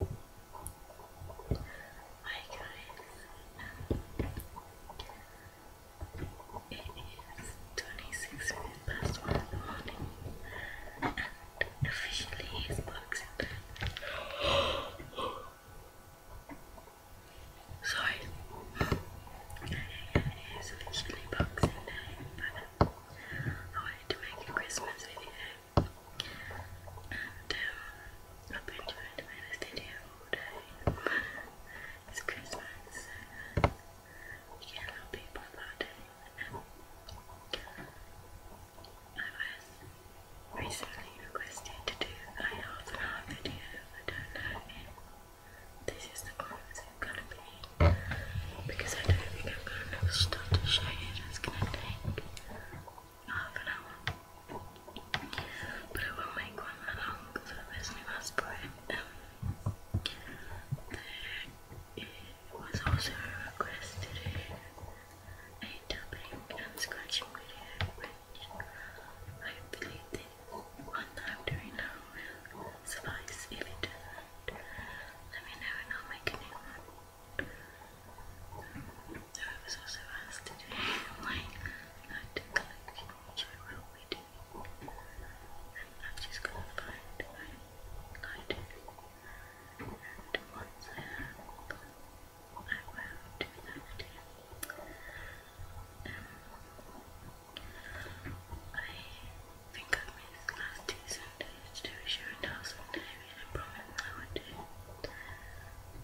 Hi guys, it is 26 minutes past 1 in the morning and officially it's boxing time. Sorry, it is officially boxing day, but I wanted to make a Christmas video and um, I've been trying this video all day. It's Christmas, you can help people about it. I was recently requested to do a half an hour video. I don't know if this is the one that's gonna be because I don't think I'm gonna start to show you. It's gonna take half an But I will make one along for this new aspirate. Um, there was also requested a, a and scratching video, which hopefully the one that i now suffice. If it doesn't, let me know and I'll make a new one. I was also asked to do an online night collection, which I will And I'm just going to find my lighter. And once I have I will do that I think I missed last two used to share a thousand times and promise I would do.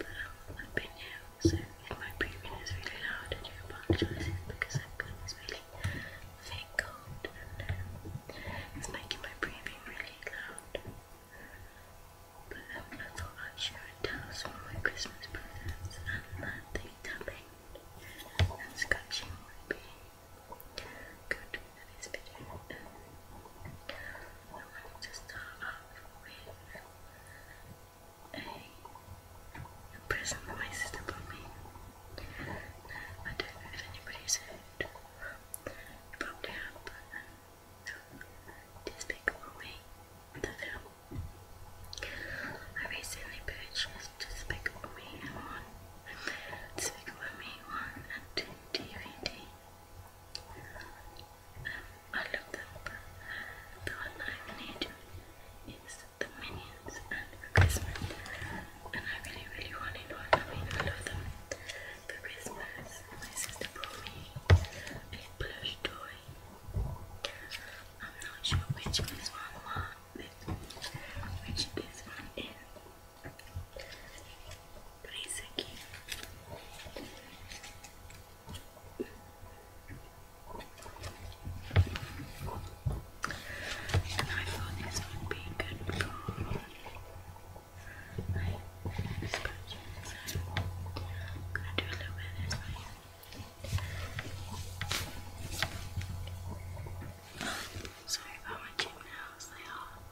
But I would be new, so my breathing is really loud, I do apologize because I've got this cold it's making my breathing really loud. But I thought I'd share a task for my Christmas presents and that the tapping and scratching would be good into this video. I wanted to start off with a, a present that my sister bought me. Now, don't know if anybody's heard. You probably have, but um, the film. I recently purchased Despicable Me and 1. Despicable 1 and 2 DVD. I looked up. The one I need is the Minions and Christmas. And I really, really wanted one. I mean, I love them. For Christmas, my sister brought me a plush toy. I'm not sure which is one, one which this one is. Por isso And I thought this would be good for my I'm gonna do a little bit this Sorry about my gym nails, they are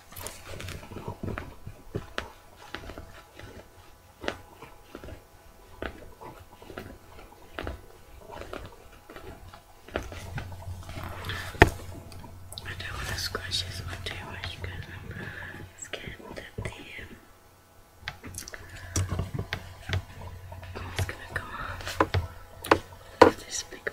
I don't want to scratch this one too much because I'm scared the um, it's gonna go off. This big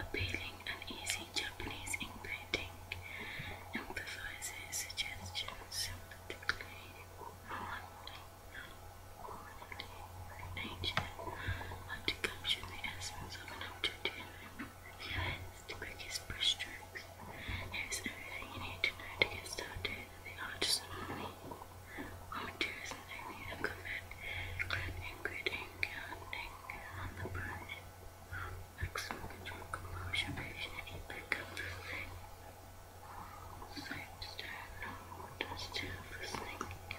Appealing and easy Japanese ink painting emphasizes suggestions sympathetically nature, but to capture the essence of an object. He the quickest brush Here's everything you need to know to get started the arts and money. Raw materials and technique are covered, including grading, counting, and the brush. Maximum control, composure, patient, and impact of everything. Soap, stone, water, steel, for snake, and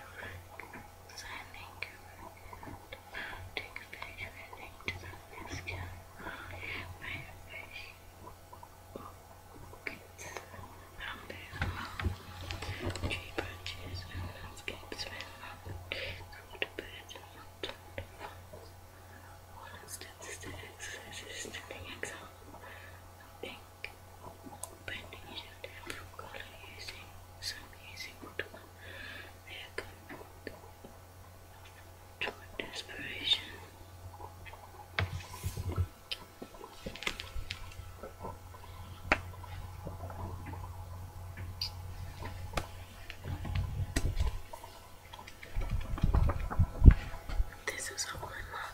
sending the mounting fish winning to the rescue by fish buckets from their mouth. Tree branches and landscapes went up, called birds and mountain falls. One instance is the exercise standing example of ink, bending it in different color using some using watercolor. They are toward desperation. This is all my mom.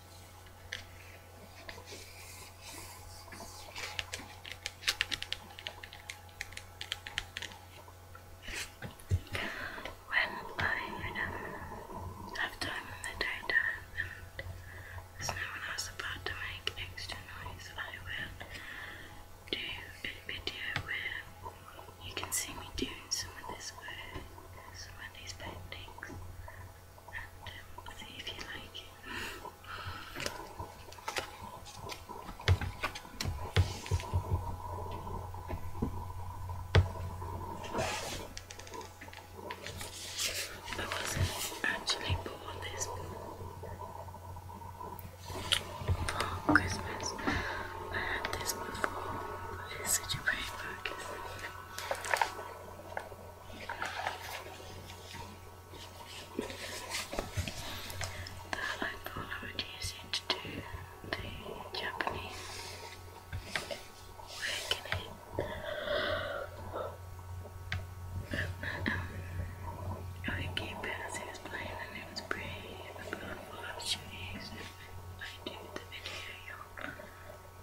When I have time in the daytime and there's no one else about to make extra noise, I will do a video where you can see me doing some of this work, some of these paintings. I wasn't actually born this for Christmas. I had this before. It's such a pretty book. That I thought would use it to do the Japanese work I keep it as it and it was pretty, but I thought I should I do the video, you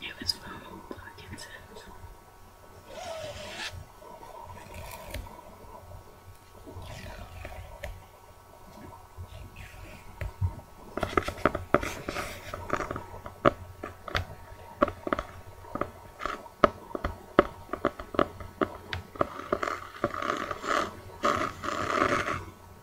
It was from Parkinson's.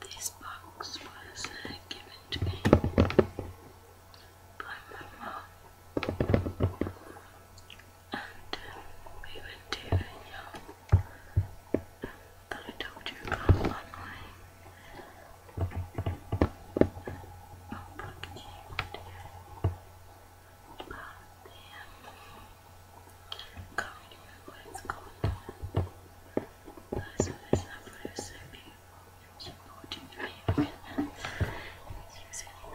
This box was uh, given to me by my mom, and uh, we went to Vinyard um, I told you about online. Public about the um, can't remember what it's so there's that photo so beautiful. She bought two three and she was really nice.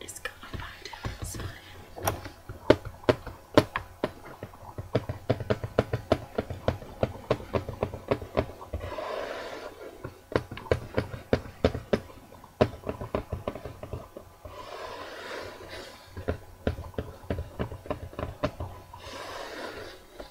It's going back down inside.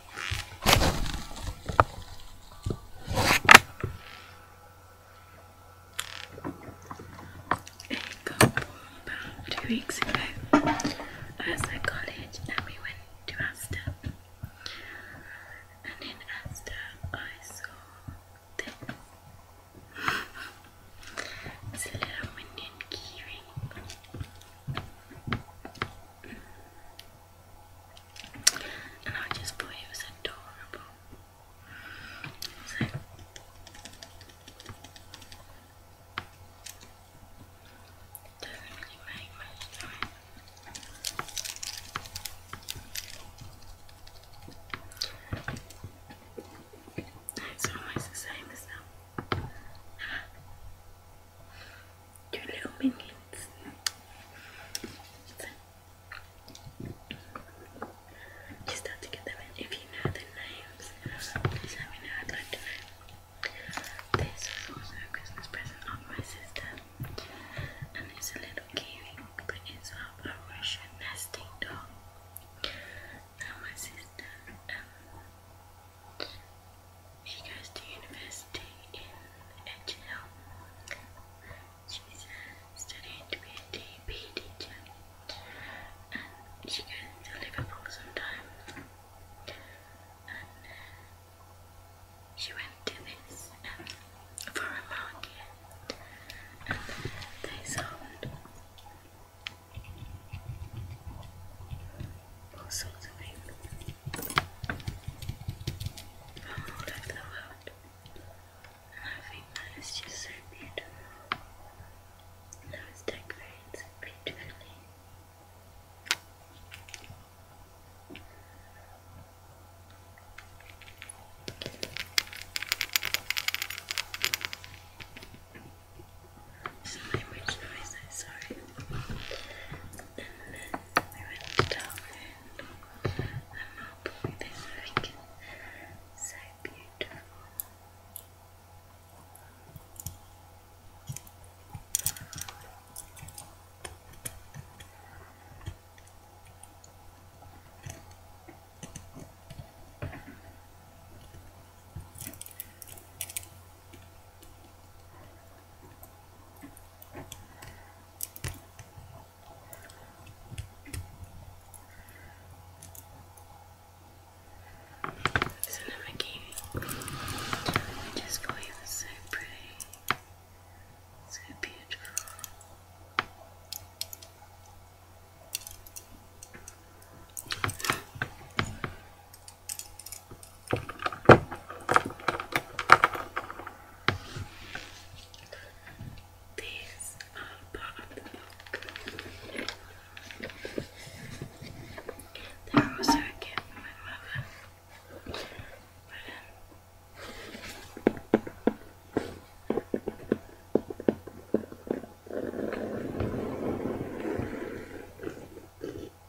about two weeks ago. I was at college and we went to Asda. And in Asda I saw this. little minion keyring and I just believe it adorable. So, doesn't really make much time. It's almost the same as Two little minions. Just have to get them If you know the names, please let me know. I'd like to know. This was also a Christmas present of my sister, and it's a little kiwi, but it's a Russian nesting doll. Now my sister um, she goes to university in Edge She's uh, studying to be a DP teacher. And she goes to Liverpool sometimes. And uh, she went to this um, foreign market. And they sold all sorts of things from all over the world. And I just so beautiful. Those decorates beautifully. Some language noise, I'm sorry. I went down and up with everything. So beautiful. So now my kiwi. Just for is so pretty. So beautiful. These are part of the book. They're also a gift from my mother. But, um,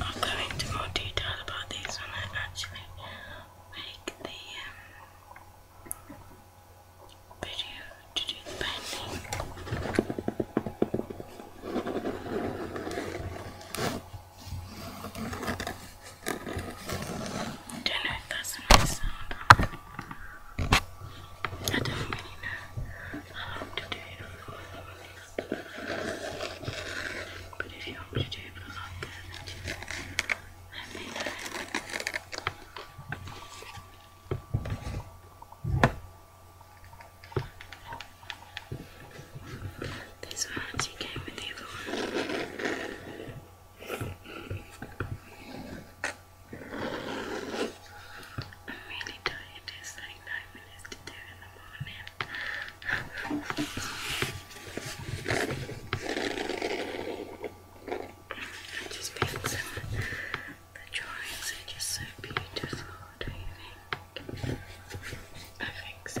I'll go into more detail about these when I actually make the um, video to do the painting. don't know if that's sound. I don't really know how to do it. But if you want to do it, I'm not good, let me know. This one actually with the I'm really tired, it's like nine minutes to do it just being the drawings are just so beautiful, do you think? I think so.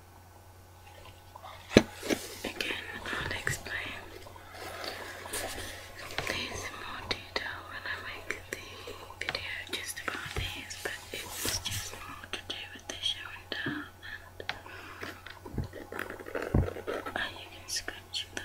Again, I'll explain these more detail when I make the video just about these, but it's just more to do with the show and tell and you can scratch them.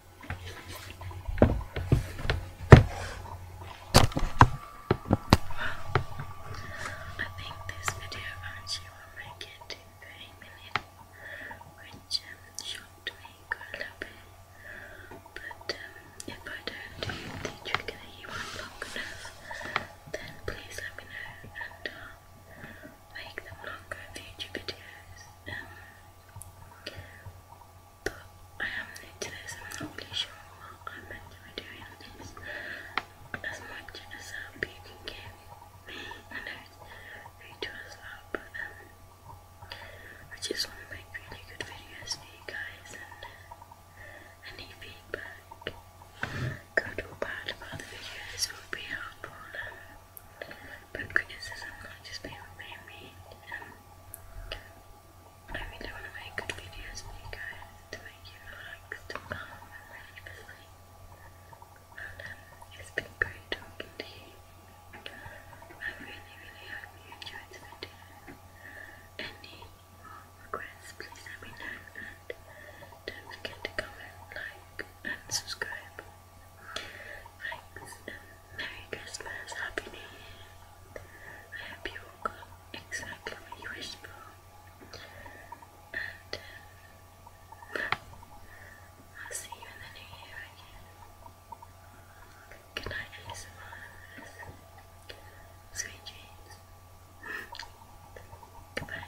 I think this video actually will make it to 3 million, which um, shocked me a little bit. But um, if I don't do the trick that you want long enough, then please let me know and make them longer future videos. Um, but I am um, new to this, I'm not really sure what I'm meant to be doing on this. As much as help um, you can give me, I know it's really to us lot, but um, I just want to make really good videos for you guys and uh, any feedback, good or bad about the videos would be helpful. Um, but criticism might just be mainly, um, I really want to make good videos for you guys to make you relaxed and calm and ready And um, it's been great talking to you. I really, really hope you enjoyed the video. Any more requests, please let me know and don't forget to comment, like and subscribe. Thanks Merry Christmas, Happy New Year. I hope you all got exactly what you wished for. And I'll see you in the new year again. Good night, ASMR. Sweet dreams. Goodbye.